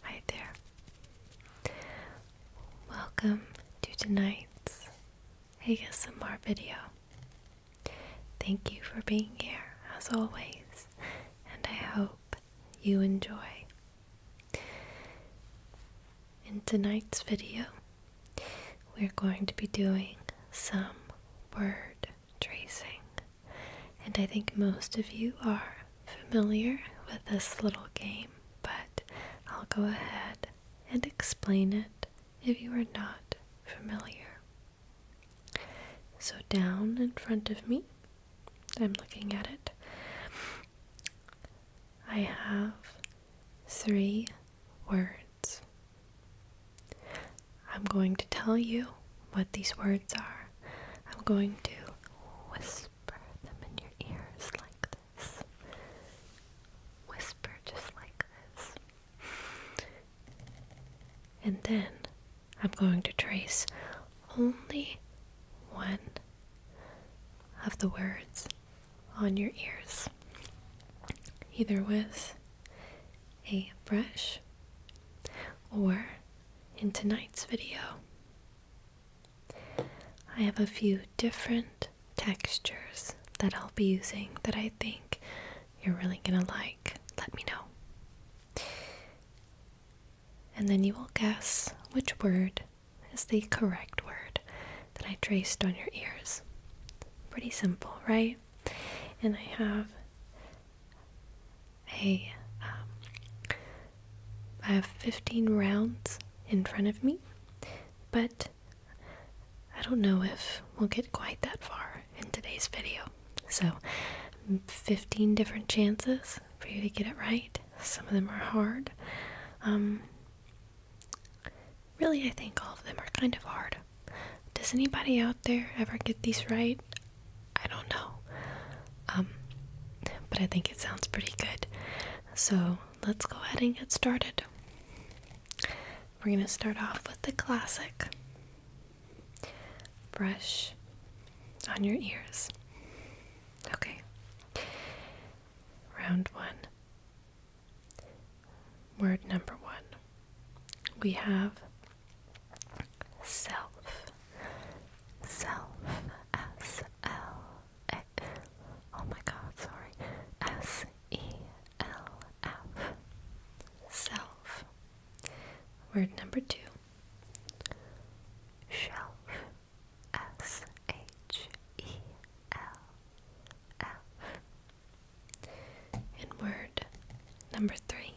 Hi there. Welcome to tonight's ASMR video. Thank you for being here as always, and I hope you enjoy. In tonight's video, we're going to be doing some word tracing. And I think most of you are familiar with this little game, but I'll go ahead and explain it if you are not familiar. So, down in front of me, I'm looking at it, I have three words. I'm going to tell you what these words are. I'm going to whisper them in your ears like this. Whisper just like this. And then I'm going to trace only one of the words on your ears, either with a brush or in tonight's video, I have a few different textures that I'll be using that I think you're really gonna like. Let me know. And then you will guess which word is the correct word that I traced on your ears. Pretty simple, right? And I have Hey, um, I have 15 rounds in front of me, but I don't know if we'll get quite that far in today's video. So, 15 different chances for you to get it right. Some of them are hard. Um, really, I think all of them are kind of hard. Does anybody out there ever get these right? I don't know. Um, but I think it sounds pretty good. So let's go ahead and get started. We're going to start off with the classic brush on your ears. Okay. Round one. Word number one. We have self, self, S L A. Oh my God, sorry, S E L F, self. Word number two. Shelf, S H E L F. And word number three.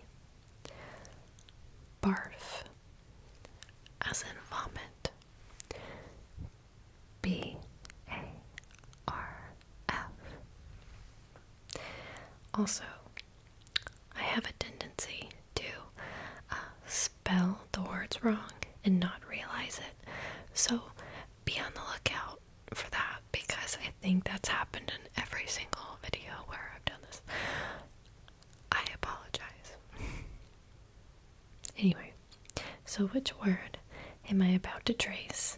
Barf, as in vomit. B A R F. Also, I have a tendency to uh, spell the words wrong and not realize it. So be on the lookout for that because I think that's happened in every single video where I've done this. I apologize. anyway, so which word am I about to trace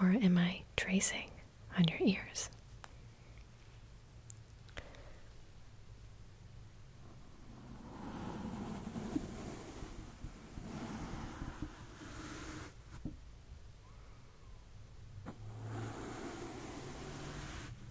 or am I tracing on your ears?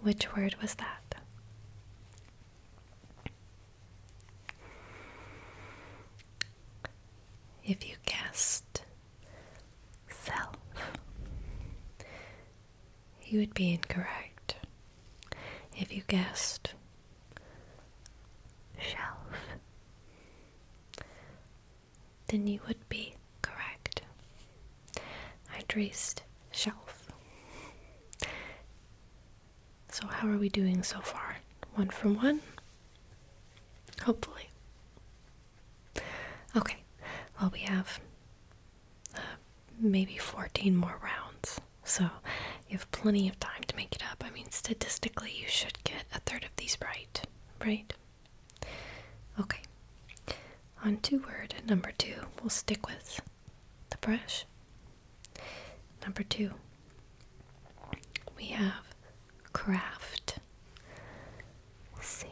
which word was that? If you guessed self, you would be incorrect. If you guessed shelf, then you would be correct. I traced shelf. So, how are we doing so far? One from one? Hopefully. Okay, well, we have uh, maybe 14 more rounds, so you have plenty of time to make it up. I mean, statistically, you should get a third of these right, right? Okay, on to word number two, we'll stick with the brush. Number two, we have craft. C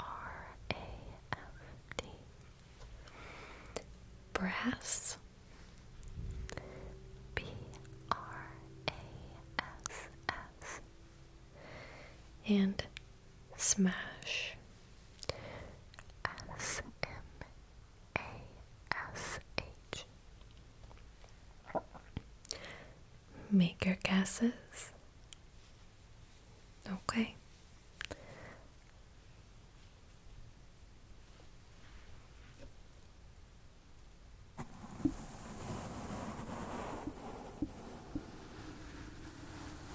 R A F T. Brass. B R A S S. And Smash S M A S H Make your guesses. Okay.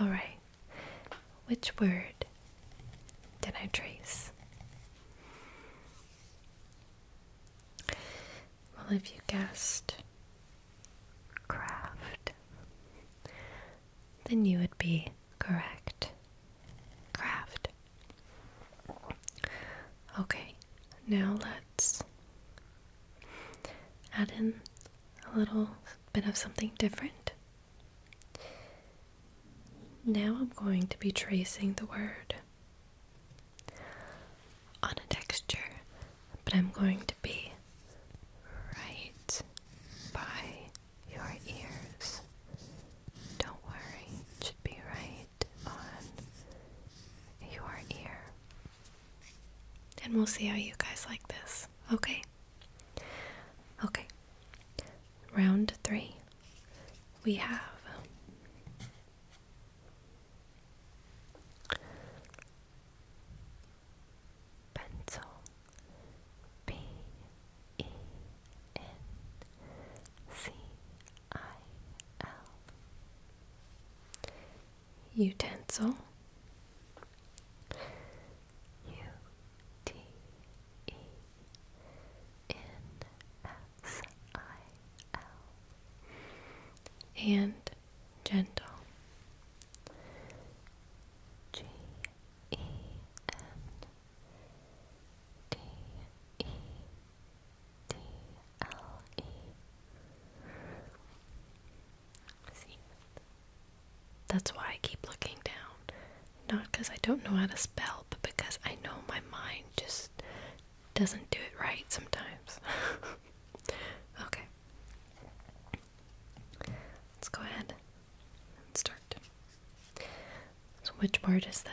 All right. Which word did I trace? Well, if you guessed craft, then you would be correct. Craft. Okay, now let's add in a little bit of something different. Now I'm going to be tracing the word on a texture, but I'm going to be right by your ears. Don't worry, it should be right on your ear. And we'll see how you guys like this, okay? Okay, round three. We have pencil. P E N C I L utensil U T E N S I L and gentle. G E N D E D L E C that's why I keep looking down. Not because I don't know how to spell, but because I know my mind just doesn't do it right sometimes. okay. Let's go ahead and start. So, which part is this?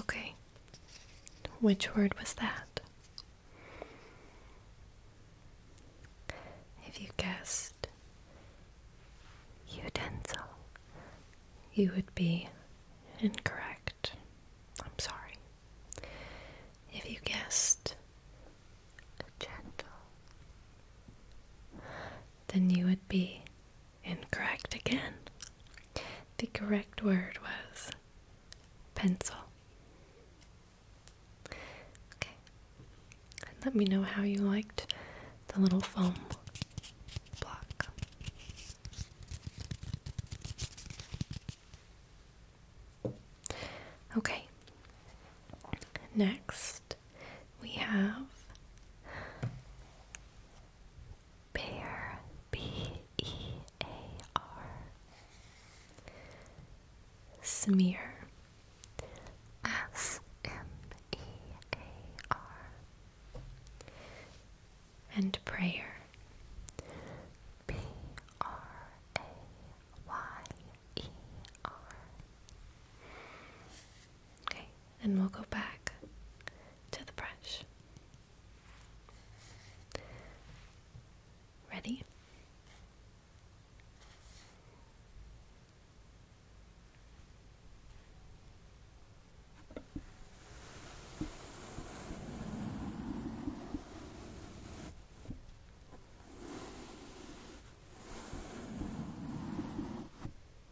Okay. Which word was that? If you guessed utensil, you would be incorrect. I'm sorry. If you guessed gentle, then you would be incorrect again. The correct word was pencil. Okay. let me know how you liked the little foam block. Okay. Next, we have Bear B E A R Smear S M E A R and prayer P R A Y E R Okay, and we'll go back to the brush. Ready?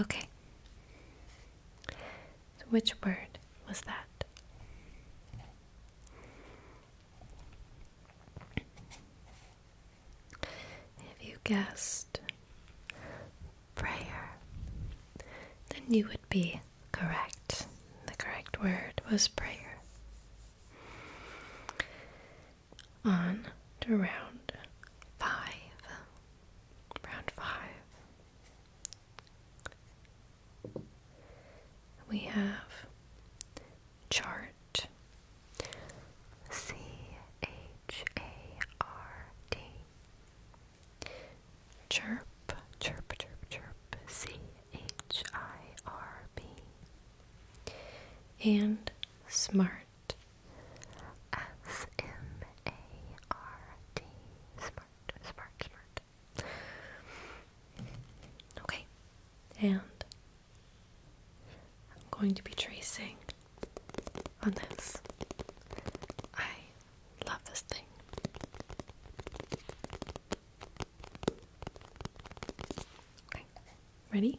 Okay. which word was that? If you guessed prayer, then you would be correct. The correct word was prayer on to round five. Round five. We have chart. C H A R D. Chirp, chirp, chirp, chirp. C H I R B and smart. S M A R T. Smart, smart, smart. Okay, and I'm going to be tracing on this. I love this thing. Okay, ready?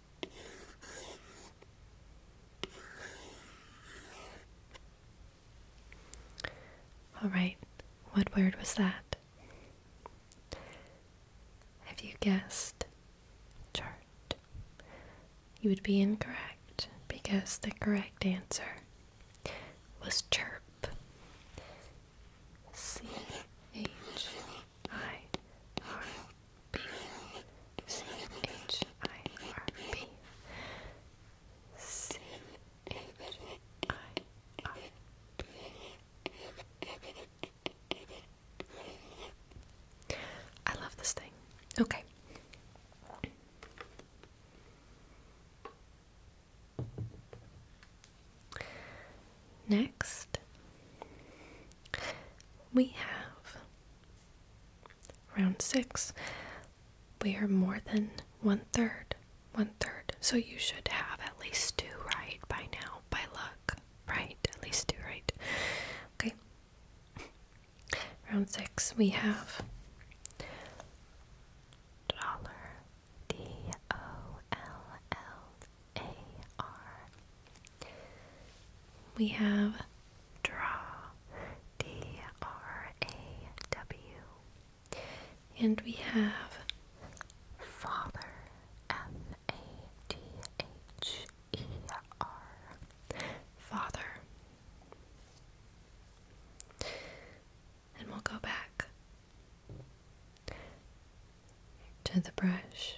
All right, what word was that? If you guessed chart, you would be incorrect because the correct answer was chirp. C H I R B C H I R P C H I R P I love this thing. Okay. Next, we have Round six, we are more than one third, one third. So you should have at least two right by now, by luck, right? At least two right. Okay. Round six, we have dollar, D O L L A R we have draw, D R A W, and we have father, F A T H E R, father. And we'll go back to the brush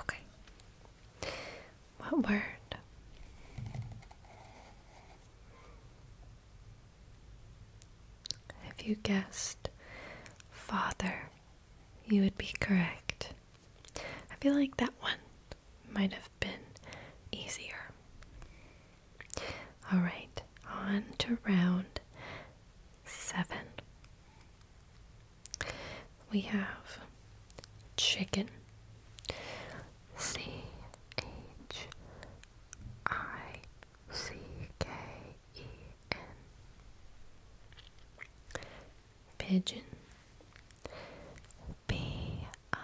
Okay. What word? If you guessed father, you would be correct. I feel like that one might have been easier. All right, on to round seven we have chicken C H I C K E N Pigeon B I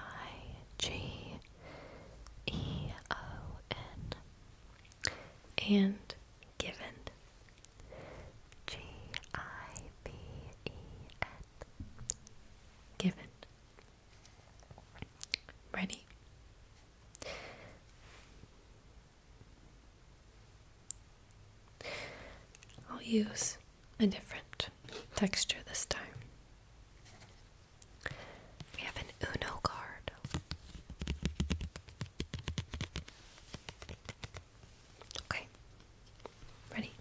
G E O N and Given. G I V E N. Given. Ready? I'll use a different texture this time. We have an Uno card. Okay. Ready?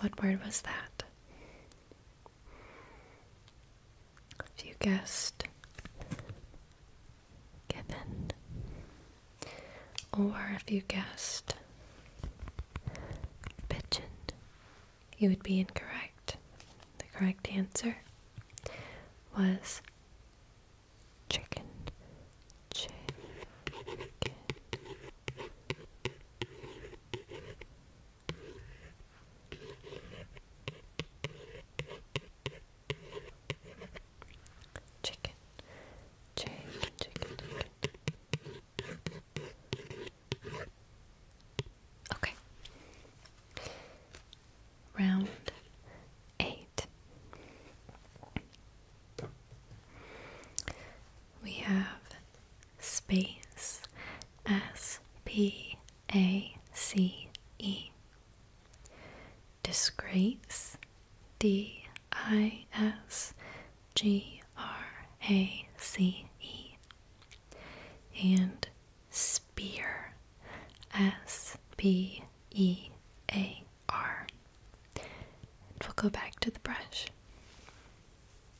What word was that? If you guessed chicken, or if you guessed pigeon, you would be incorrect. The correct answer was Chicken. Chicken, chicken, chicken, chicken. Okay. Round eight. We have space S P A C E. Disgrace D I S G R A C E. And spear S P E A R. we'll go back to the brush.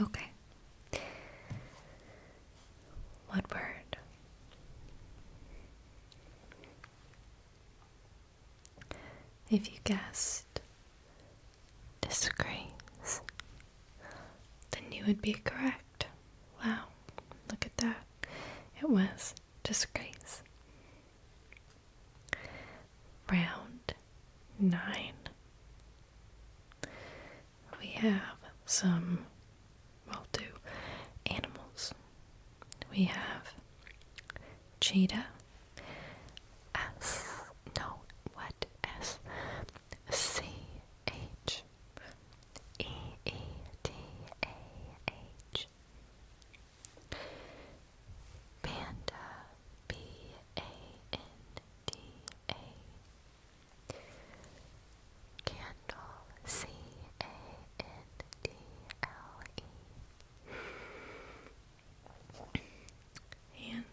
Okay. What word? If you guessed disgrace, then you would be correct. Wow, look at that. It was disgrace. Round nine. We have some I'll do animals. We have cheetah S no what S C H E E D A H Panda B A N D A Candle C A N D L E and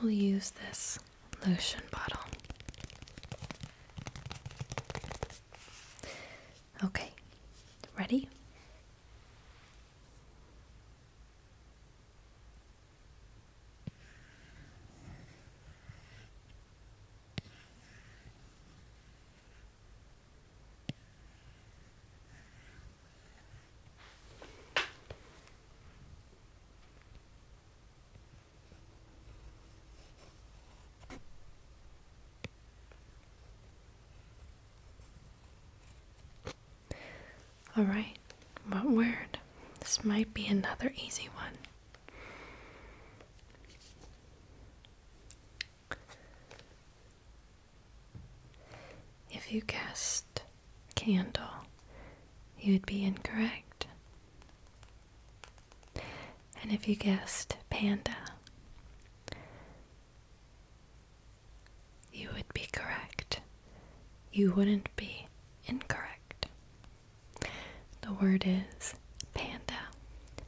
we'll use this lotion bottle. Okay, ready? All right, what word? This might be another easy one. If you guessed candle, you'd be incorrect. And if you guessed panda, you would be correct. You wouldn't be incorrect. The word is panda.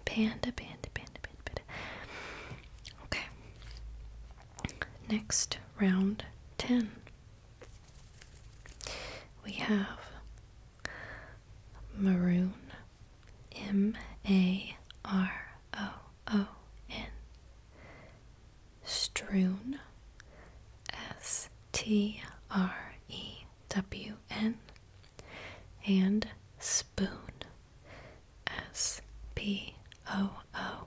Panda, panda, panda, panda, Okay. Next, round 10. We have maroon, M A R O O N, strewn, S T R E W N, and spoon, S P O O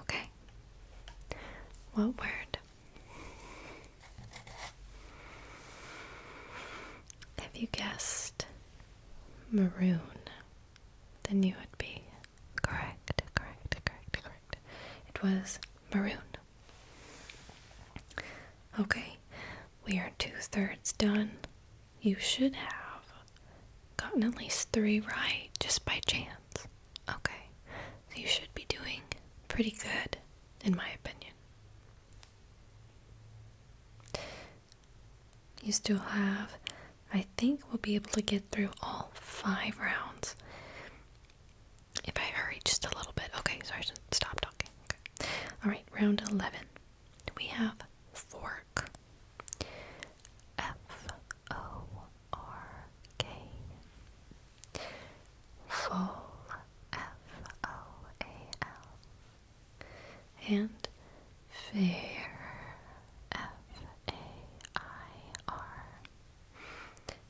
Okay. What word have you guessed? Maroon. Then you would be correct, correct, correct, correct. It was maroon. Okay, we are two thirds done. You should have gotten at least three right just by chance. Okay, you should be doing pretty good, in my opinion. You still have, I think, we'll be able to get through all five rounds. If I hurry just a little bit. Okay, Sorry, stop talking. Alright, round 11. We have fork. F O R K. Full. F O A L. And fair. F A I R.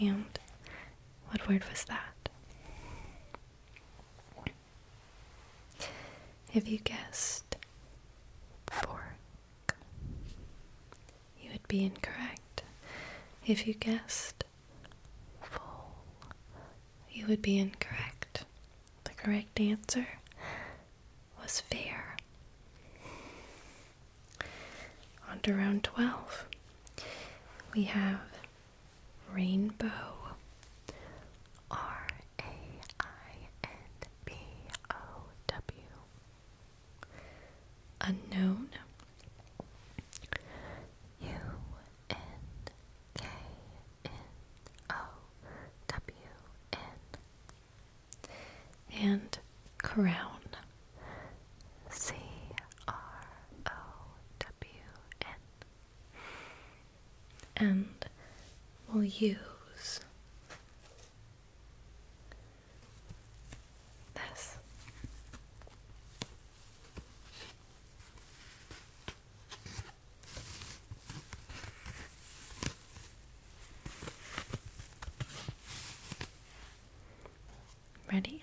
And what word was that? Have you guessed four you would be incorrect if you guessed You would be incorrect. The correct answer was fair. On to round 12. We have rainbow. R A I N B O W unknown U N K N O W N and crown C R O W N and we'll use this. Ready?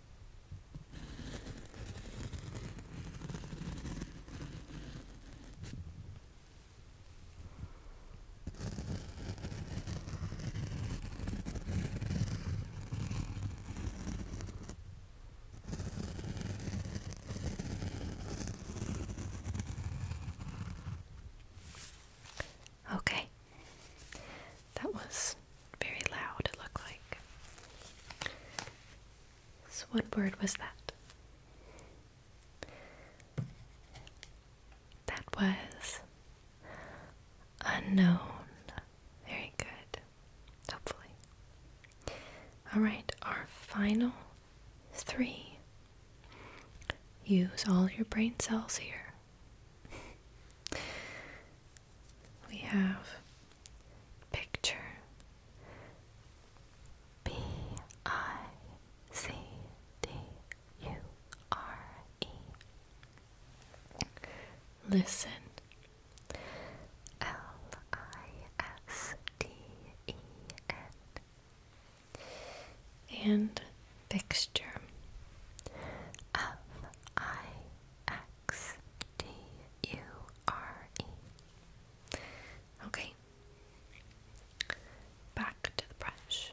Okay, that was very loud, it looked like. So, what word was that? That was unknown. Very good. Hopefully. All right, our final three. Use all your brain cells here. we have Picture P I C D U R E Listen L I S T E N and fixture F I X X T U R E. Okay. Back to the brush.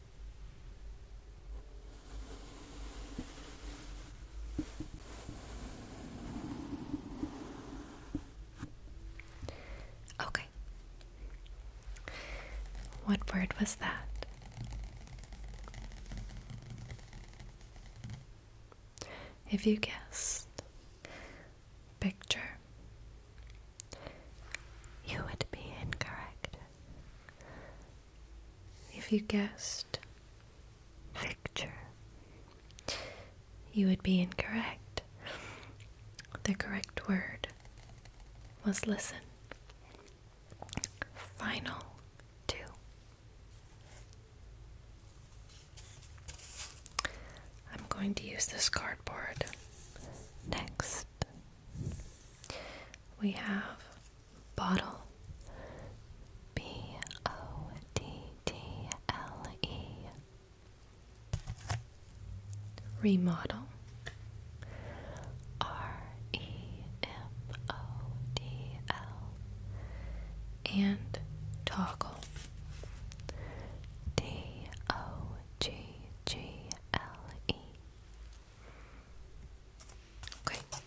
Okay. What word was that? If you guessed picture, you would be incorrect. If you guessed picture, you would be incorrect. The correct word was listen. Final two. I'm going to use this cardboard next. We have Bottle B O D D L E Remodel R E M O D L and toggle D O G G L E Okay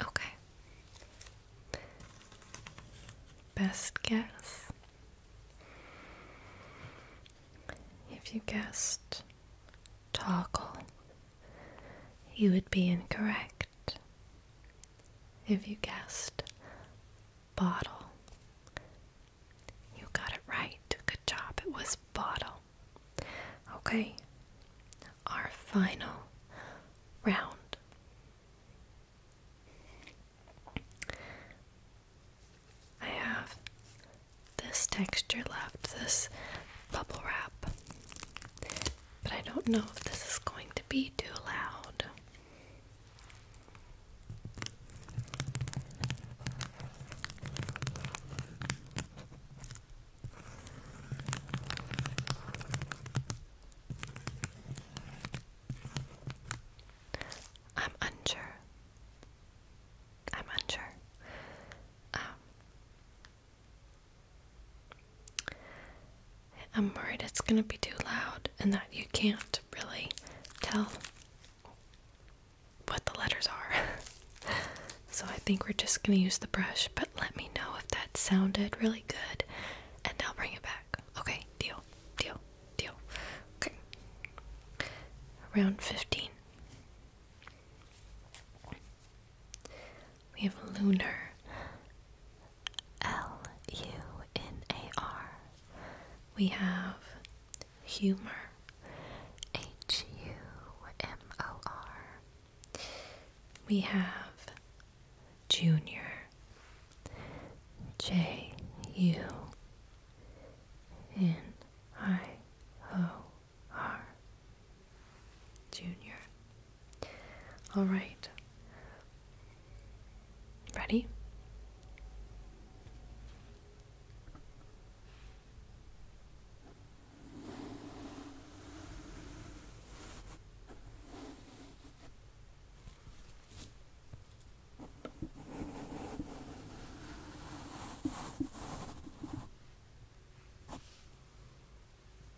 Okay. Best guess. If you guessed toggle, you would be incorrect if you guessed bottle. You got it right. Good job. It was bottle. Okay, our final round. I have this texture left, this bubble wrap. But I don't know if this is going to be too loud. I'm unsure. I'm unsure. Um, I'm worried it's going to be too loud and that you can't really tell what the letters are. so I think we're just going to use the brush, but let me know if that sounded really good and I'll bring it back. Okay, deal, deal, deal. Okay. Round 15. We have lunar. L U N A R. We have humor. H U M O R. We have junior. J U N I O R. Junior. All right. Ready?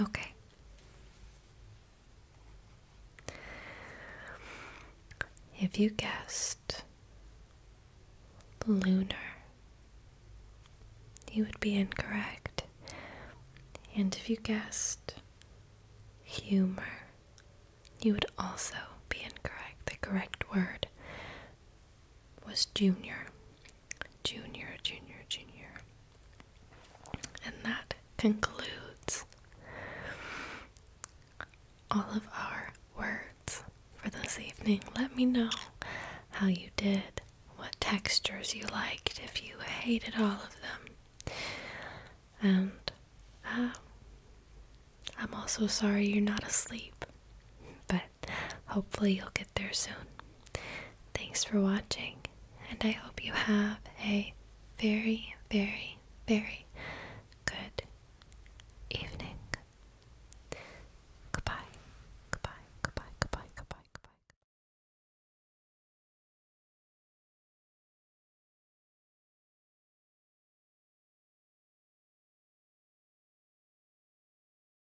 Okay. If you guessed lunar, you would be incorrect. And if you guessed humor, you would also be incorrect. The correct word was junior junior, junior, junior. And that concludes all of our words for this evening. Let me know how you did, what textures you liked, if you hated all of them. And uh, I'm also sorry you're not asleep, but hopefully you'll get there soon. Thanks for watching, and I hope you have a very, very, very good evening. Goodbye, goodbye, goodbye, goodbye, goodbye, goodbye.